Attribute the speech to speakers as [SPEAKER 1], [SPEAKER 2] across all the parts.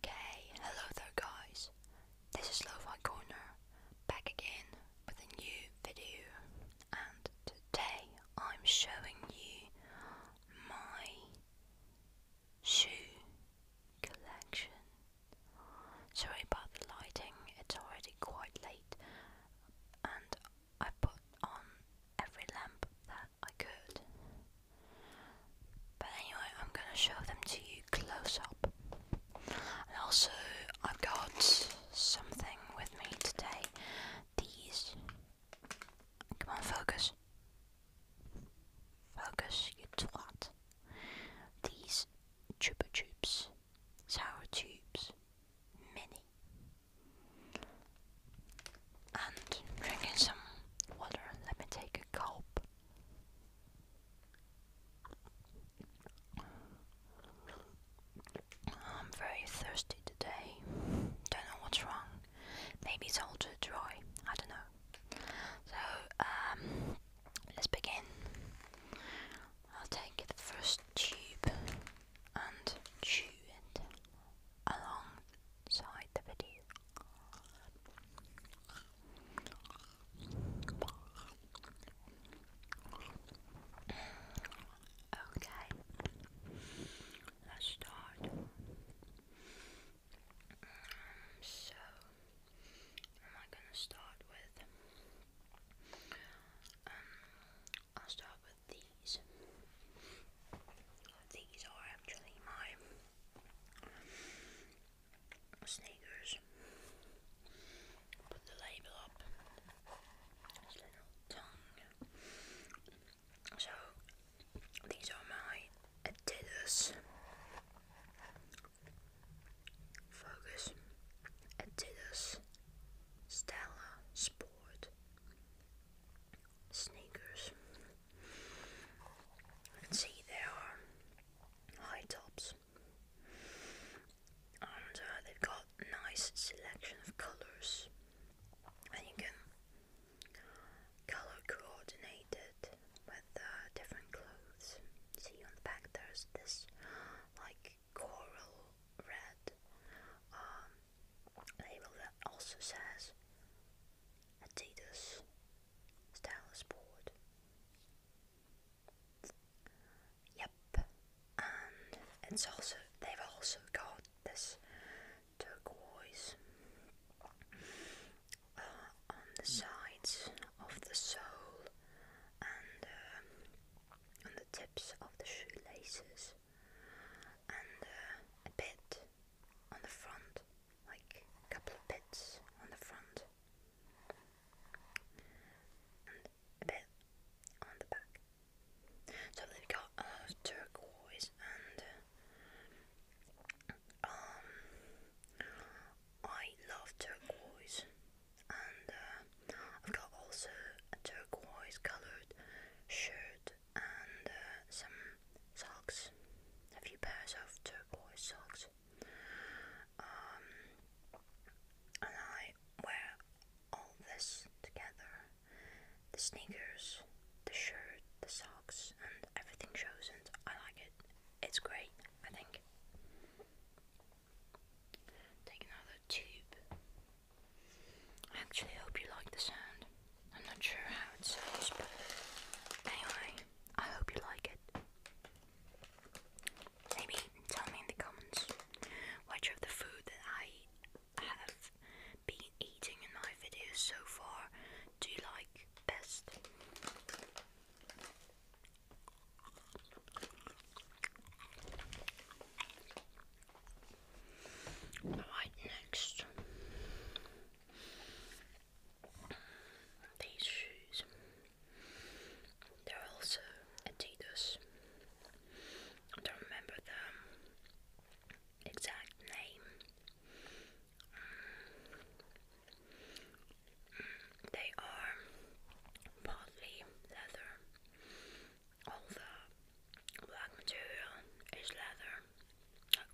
[SPEAKER 1] Okay, hello there guys. This is Lo-Fi Corner, back again with a new video and today I'm showing you my shoe collection. Sorry about the lighting, it's already quite late and I put on every lamp that I could. But anyway, I'm gonna show them to you close up. And also, I've got something with me today. These. Come on, focus. Focus, you twat. These Chupa Chups, Sour Tubes, Mini and drinking some water. Let me take a gulp. I'm very thirsty today. Don't know what's wrong. Maybe it's all too dry. I don't know. So, um, let's begin. I'll take the first tube and chew it along inside the video. Okay, let's start. Um, so, am I gonna start with? Um, I'll start with these. These are actually my sneakers. Put the label up. So these are my Adidas Focus Adidas Stella Sport sneakers. You can see there are high tops, and uh, they've got nice selection of colors, and you can color coordinated with uh, different clothes. See on the back there's this like coral red um, label that also says Adidas Stylus board. Yep, and it's also they've also got this turquoise uh, on the sides of the sole and uh, on the tips of the shoelaces, and uh, a bit on the front, like a couple of bits on the front and a bit on the back. So they've got a uh, turquoise and um, I love turquoise and uh, I've got also a turquoise coloured shirt and uh, some socks, a few pairs of turquoise socks. Um, and I wear all this together the sneakers, the shirt, the socks, and everything shows, I like it. It's great, I think. Take another tube. I actually hope you like the sound. I'm not sure how it sounds, but anyway, I hope you like it. Maybe tell me in the comments which of the food that I have been eating in my videos so far do you like best? Right next these shoes, they're also Adidas. I don't remember the exact name. Mm. They are partly leather. All the black material is leather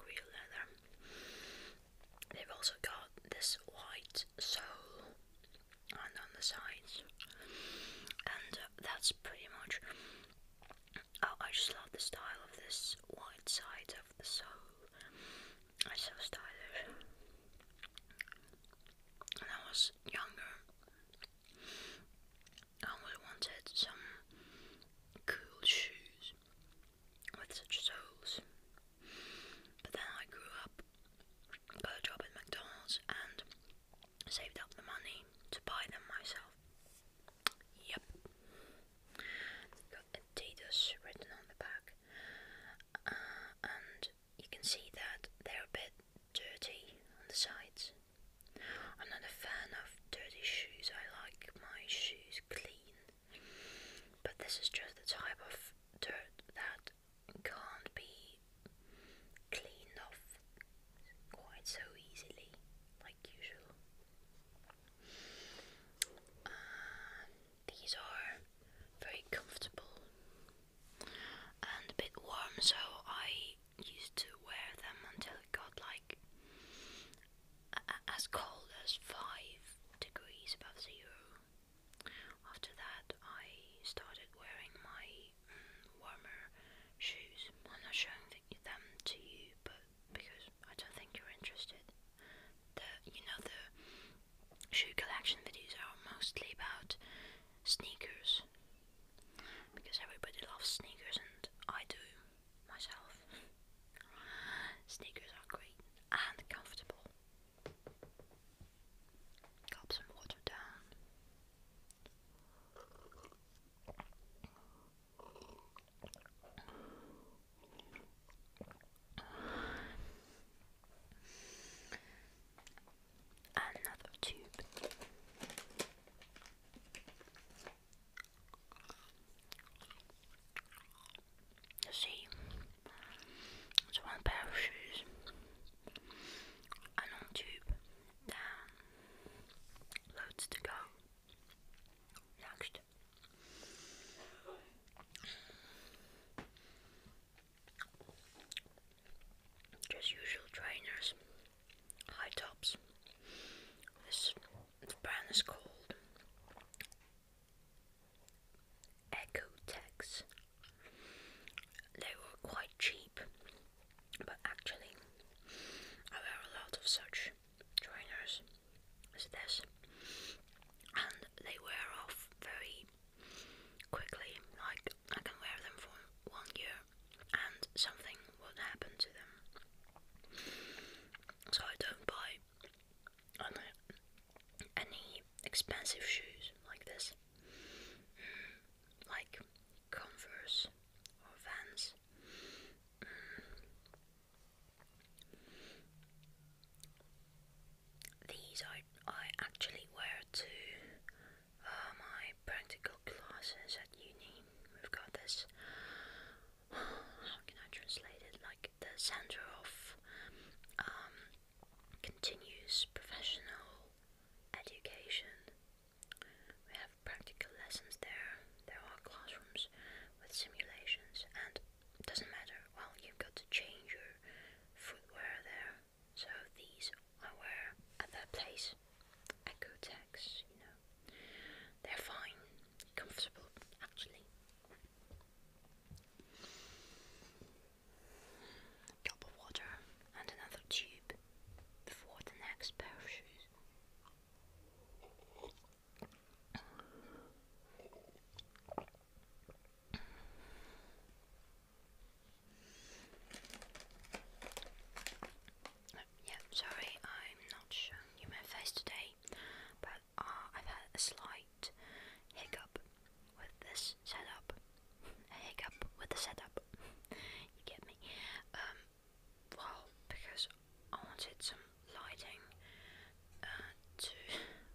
[SPEAKER 1] real leather. They've also got this white sole and on the sides, and that's pretty much. I just love the style of this white side of the sole. It's so stylish. When I was younger, I wanted some cool shoes, with such souls. But then I grew up, got a job at McDonald's, and saved up the money to buy them myself. Yep. Got Adidas written on the back, uh, and you can see that they're a bit dirty on the sides. I'm not a fan of dirty shoes, I like my shoes clean but this is just the type of dirt that can't be cleaned off quite so easily, like usual. Um, these are very comfortable and a bit warm, so I used to wear them until it got like as cold as 5 degrees above zero. After that, I started wearing my mm, warmer shoes. I'm not showing them to you, but because I don't think you're interested. The you know the shoe collection videos are mostly about sneakers because everybody loves sneakers and I do myself. Sneakers are great and comfortable. Gulp some water Another tube. You see, it's one pair of shoes, a long tube, then loads to go. Next. Just usual trainers, high tops. This the brand is called Ecotex. They were quite cheap, but actually, I wear a lot of such trainers as this, and they wear off very quickly. Like, I can wear them for one year, and something will happen to them. So, I don't buy on Any expensive shoes like this, mm, like Converse or Vans. Mm. These I, I actually wear to uh, my practical classes at uni. We've got this how can I translate it? Like the center of um, continuous professional education. We have practical lessons there. There are classrooms with simulations, and doesn't matter. Well, you've got to change your footwear there. So these I wear at that place. Echo tags, you They're fine, comfortable actually. A cup of water and another tube before the next pair of shoes. yeah, sorry, I'm not showing you my face today, but Ah, I've had a slight hiccup with this setup. hiccup with the setup. you get me? Um, well, because I wanted some lighting uh, to.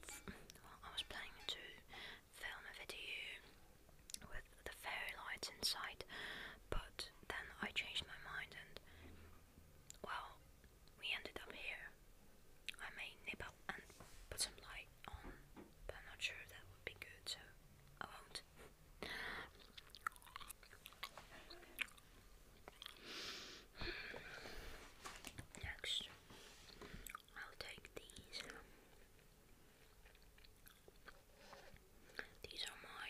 [SPEAKER 1] I was planning to film a video with the fairy lights inside, but then I changed my mind and. Well, we ended up here. I may nip up and put some light on, but I'm not sure that would be good, so I won't. Next, I'll take these. These are my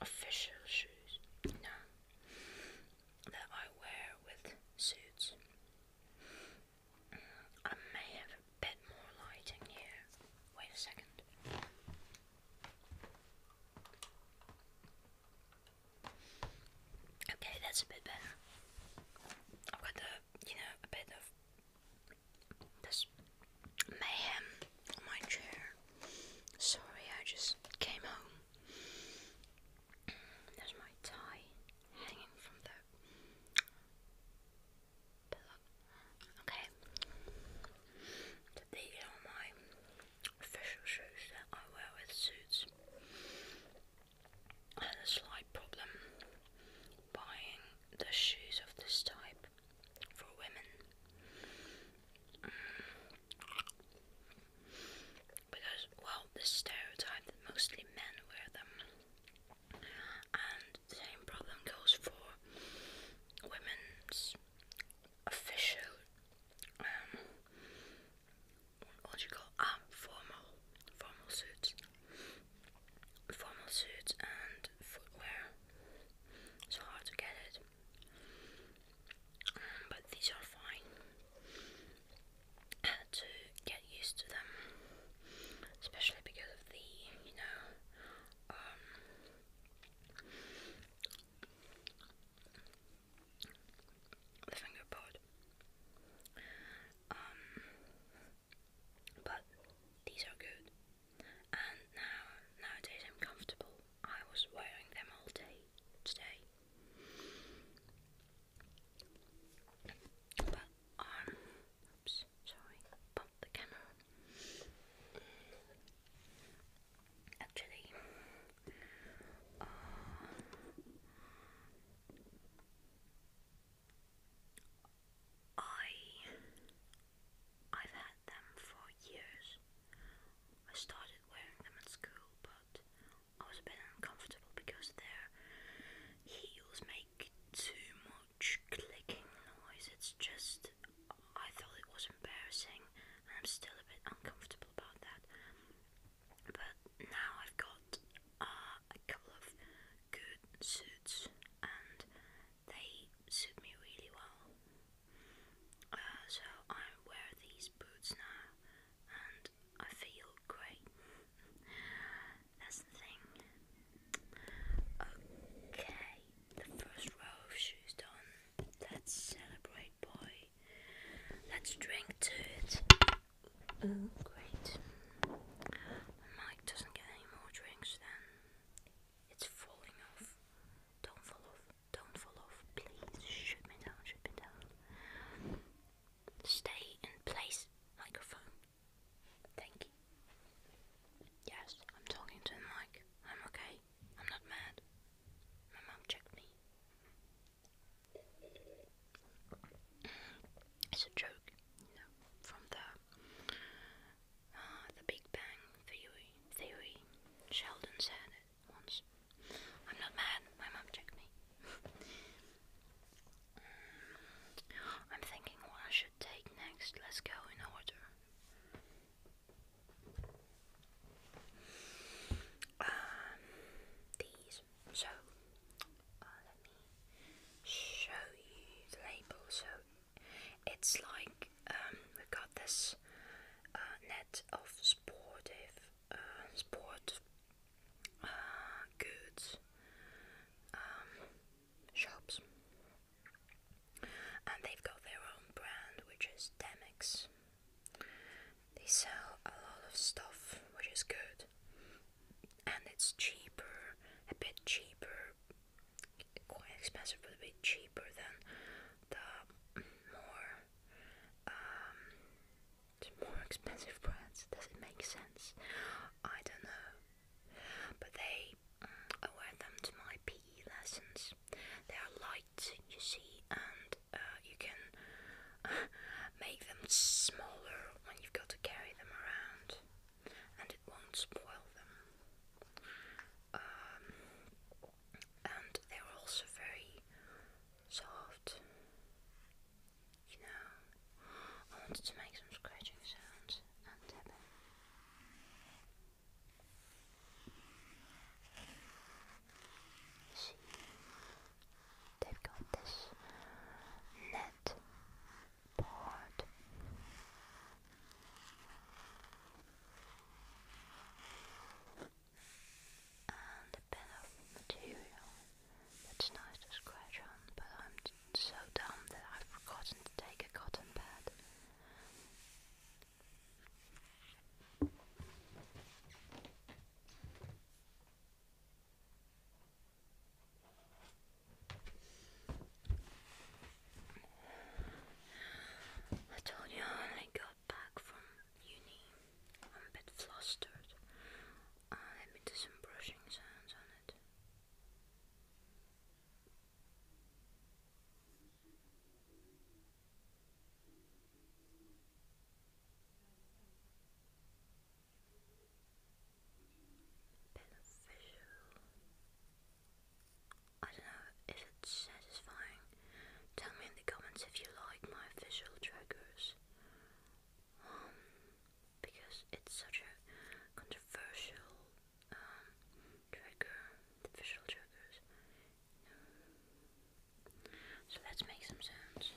[SPEAKER 1] official shoes, you that I wear with suits. I may have a bit more lighting here. Wait a second. Okay, that's a bit better. I've got the, you know, a bit of this mayhem on my chair. Sorry, I just came home there's my tie hanging from the pillow. Okay. these are my official shoes that I wear with suits. I had a slight problem buying the shoes of this type for women because, well, the stereotype that mostly men wear them, and the same problem goes for women's official, um, what do you call ah, formal, formal suits, formal suits and footwear. It's hard to get it but these are fine to get used to them, especially because of the you know um, the fingerboard. Um, but these are good, and now nowadays I'm comfortable. I was wearing them all day today. But um sorry, bump the camera. Actually, uh, I I've had them for years. I started wearing them at school, but I was a bit uncomfortable because their heels make too much clicking noise. It's just, I thought it was embarrassing, and I'm still a bit uncomfortable about that. But now I've got uh, a couple of good suits, and they suit me really well. Uh, so I wear these boots now and I feel great. That's the thing. Okay, the first row of shoes done. Let's celebrate, boy. Let's drink to it. great. Mike doesn't get any more drinks then. It's falling off. Don't fall off. Don't fall off, please. Shoot me down, shoot me down. Stay in place, microphone. Thank you. Yes, I'm talking to the mic. I'm okay. I'm not mad. My mom checked me. It's a joke, you know, from the uh, the Big Bang Theory. Theory. Sheldon said it once. I'm not mad. My mum took me. Mm. I'm thinking what I should take next. Let's go in order. Um, these. So, uh, let me show you the label. So, it's like um, we got this uh, net of sportive uh, uh, goods um, shops, and they've got their own brand, which is Demix. They sell a lot of stuff, which is good, and it's cheaper, a bit cheaper, quite expensive, but a bit cheaper than the more um, to more expensive brands. Does it make sense? I don't know. But they, mm, I wear them to my PE lessons. They are light, you see, and uh, you can make them smaller when you've got to carry them around, and it won't spoil them. Um, and they are also very soft. You know, I wanted to make some scratching sounds and tapping. See, they've got this net board a bit of material that's nice to scratch on, but I'm so dumb that I've forgotten to take a cotton pad. I told you I only got back from uni. I'm a bit flustered. Uh, let me some brushing sounds on it. Beneficial. I don't know if it's satisfying, Tell me in the comments if you like my visual triggers. Um, because it's such a controversial um, trigger, the triggers. So let's make some sounds.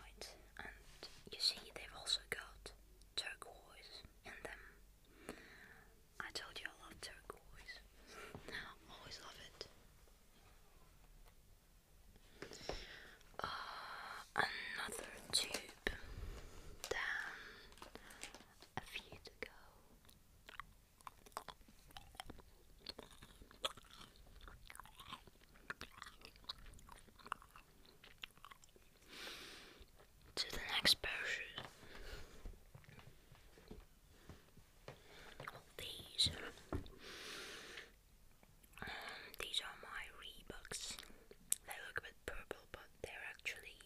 [SPEAKER 1] Right, and you see they've also got turquoise in them. I told you I love turquoise. Always love it. Uh, another tube down a few to go to the next person. These, um, these are my Reeboks. They look a bit purple, but they're actually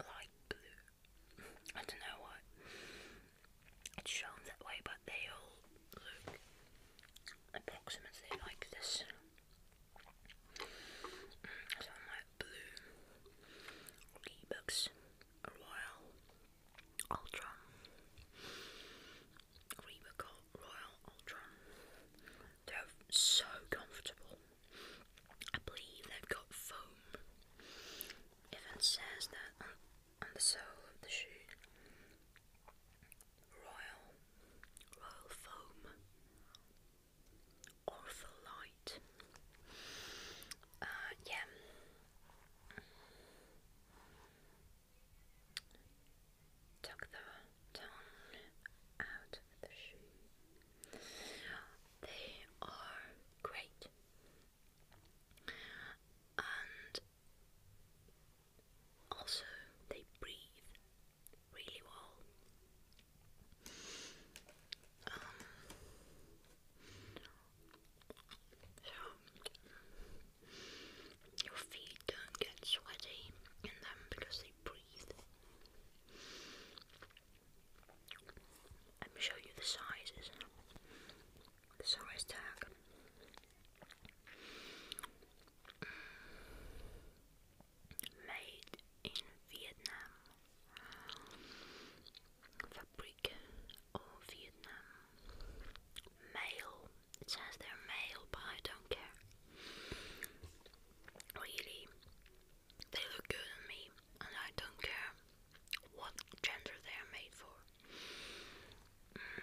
[SPEAKER 1] light blue. I don't know why it's shown that way, but they all look approximately like this. So my blue Reeboks Royal Ultra Reebok Royal Ultra. They're so comfortable. I believe they've got foam. Even says that on the sole of the shoe. Royal, Royal Foam, Ortholite. Uh, yeah. Tuck the tongue out of the shoe. They are great. Also, they breathe really well. so um, your feet don't get sweaty in them because they breathe. Let me show you the sizes. The size tag. Made in Vietnam. Fabric or Vietnam. Male. It says they're male, but I don't care. Really, they look good on me, and I don't care what gender they are made for. Mm.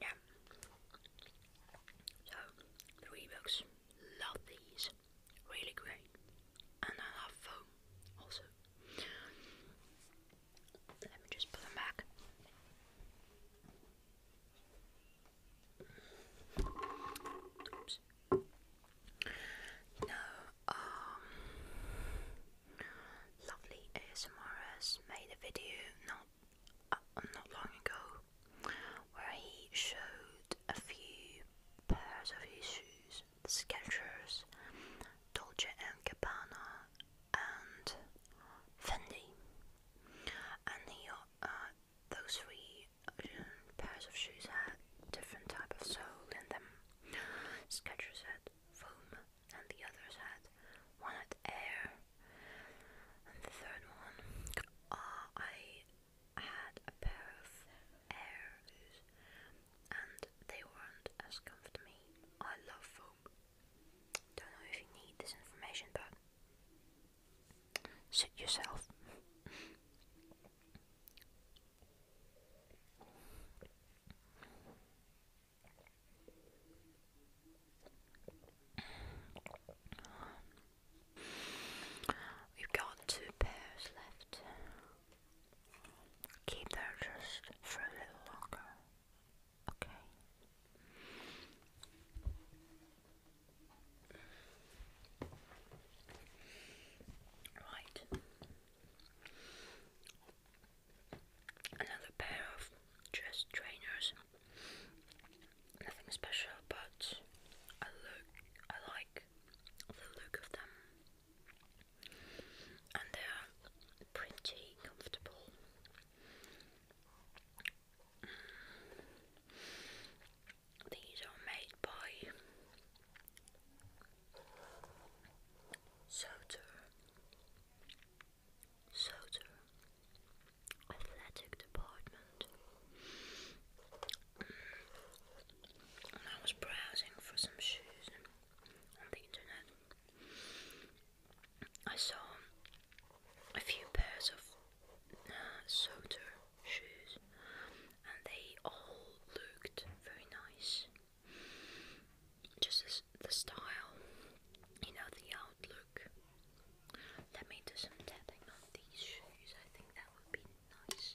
[SPEAKER 1] Yeah. So, three books. Love these. Really great. And I love foam also. Let me just put them back. Oops. Now, um, lovely ASMRs made a video not uh, not long ago where he showed a few pairs of his shoes, the Skechers, Dolce & Gabbana and Fendi and he, uh, those three uh, pairs of shoes had different type of sole in them. Skechers had foam and the others had one had air the third one, uh, I had a pair of airs and they weren't as comfy I love foam. Don't know if you need this information, but suit yourself. We've got two pairs left. Keep there just for a little longer. Okay. Right. Another pair of dress trainers nothing special, but I look, I like the look of them, and they are pretty comfortable. These are made by Soter. Soter athletic department. And mm. I was browsing for some shoes on the internet. I saw a few pairs of uh, shoes, and they all looked very nice. Just as the style, you know, the outlook. Let me do some tapping on these shoes. I think that would be nice.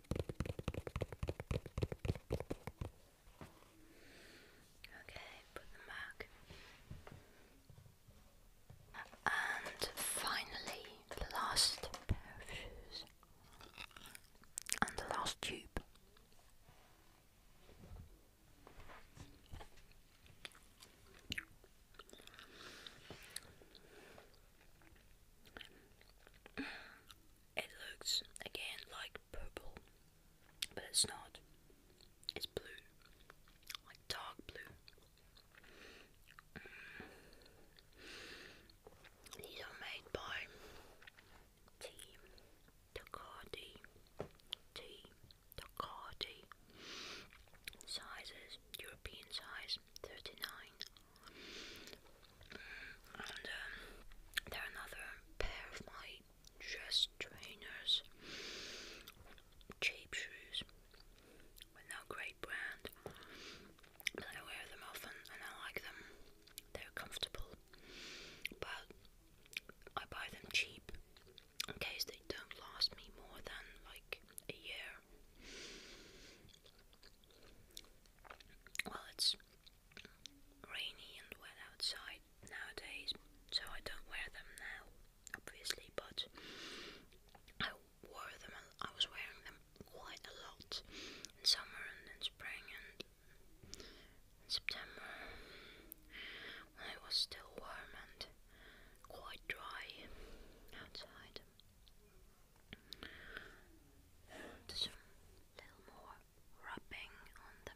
[SPEAKER 1] Okay, put them back. And finally, the last pair of shoes. And the last tube. It looks again like purple, but it's not. It's blue, like dark blue. Mm. These are made by Tea Ducati. Tea Ducati. Sizes European size, 39 and um, they're another pair of my dress trainers cheap shoes with no great brand but I wear them often and I like them they're comfortable but I buy them cheap in case they don't last me more than like a year well, it's rainy and wet outside nowadays, so I don't wear them now, obviously, but I wore them, I was wearing them quite a lot in summer and in spring and in September when it was still warm and quite dry outside. And just a little more rubbing on them.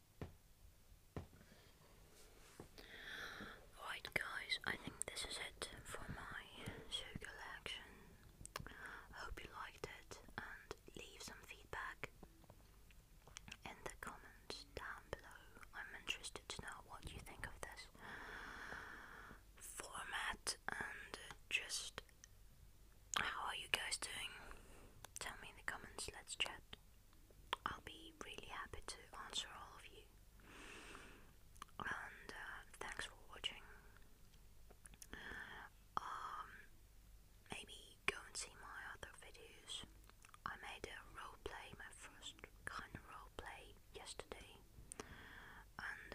[SPEAKER 1] Right guys, I think this is it for my sugar collection. Hope you liked it and leave some feedback in the comments down below. I'm interested to know what you think of this format and just how are you guys doing? Tell me in the comments, let's chat. I'll be really happy to answer all of you. And uh, thanks for watching. Um, maybe go and see my other videos. I made a role play, my first kind of role play yesterday, and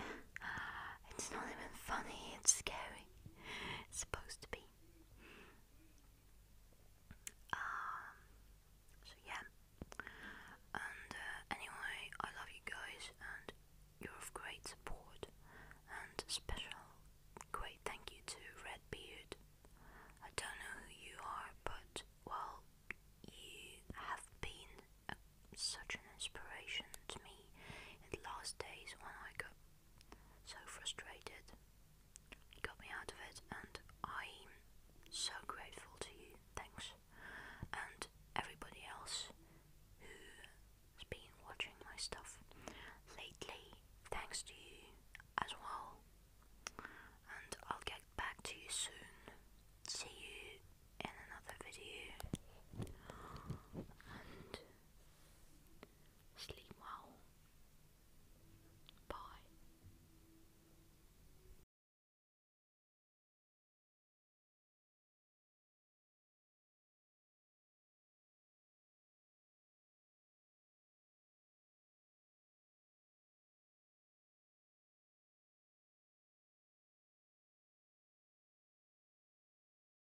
[SPEAKER 1] uh, it's not even funny. It's scary. It's supposed to be. Um, so yeah. Uh, anyway, I love you guys, and you're of great support. And special, great thank you to Redbeard. I don't know who you are, but well, you have been uh, such an inspiration to me in the last days when I got so frustrated. got me out of it, and I'm so grateful to you. Thanks. And everybody else who's been watching my stuff lately, thanks to you as well. And I'll get back to you soon. See you in another video. And Sleep well. Bye.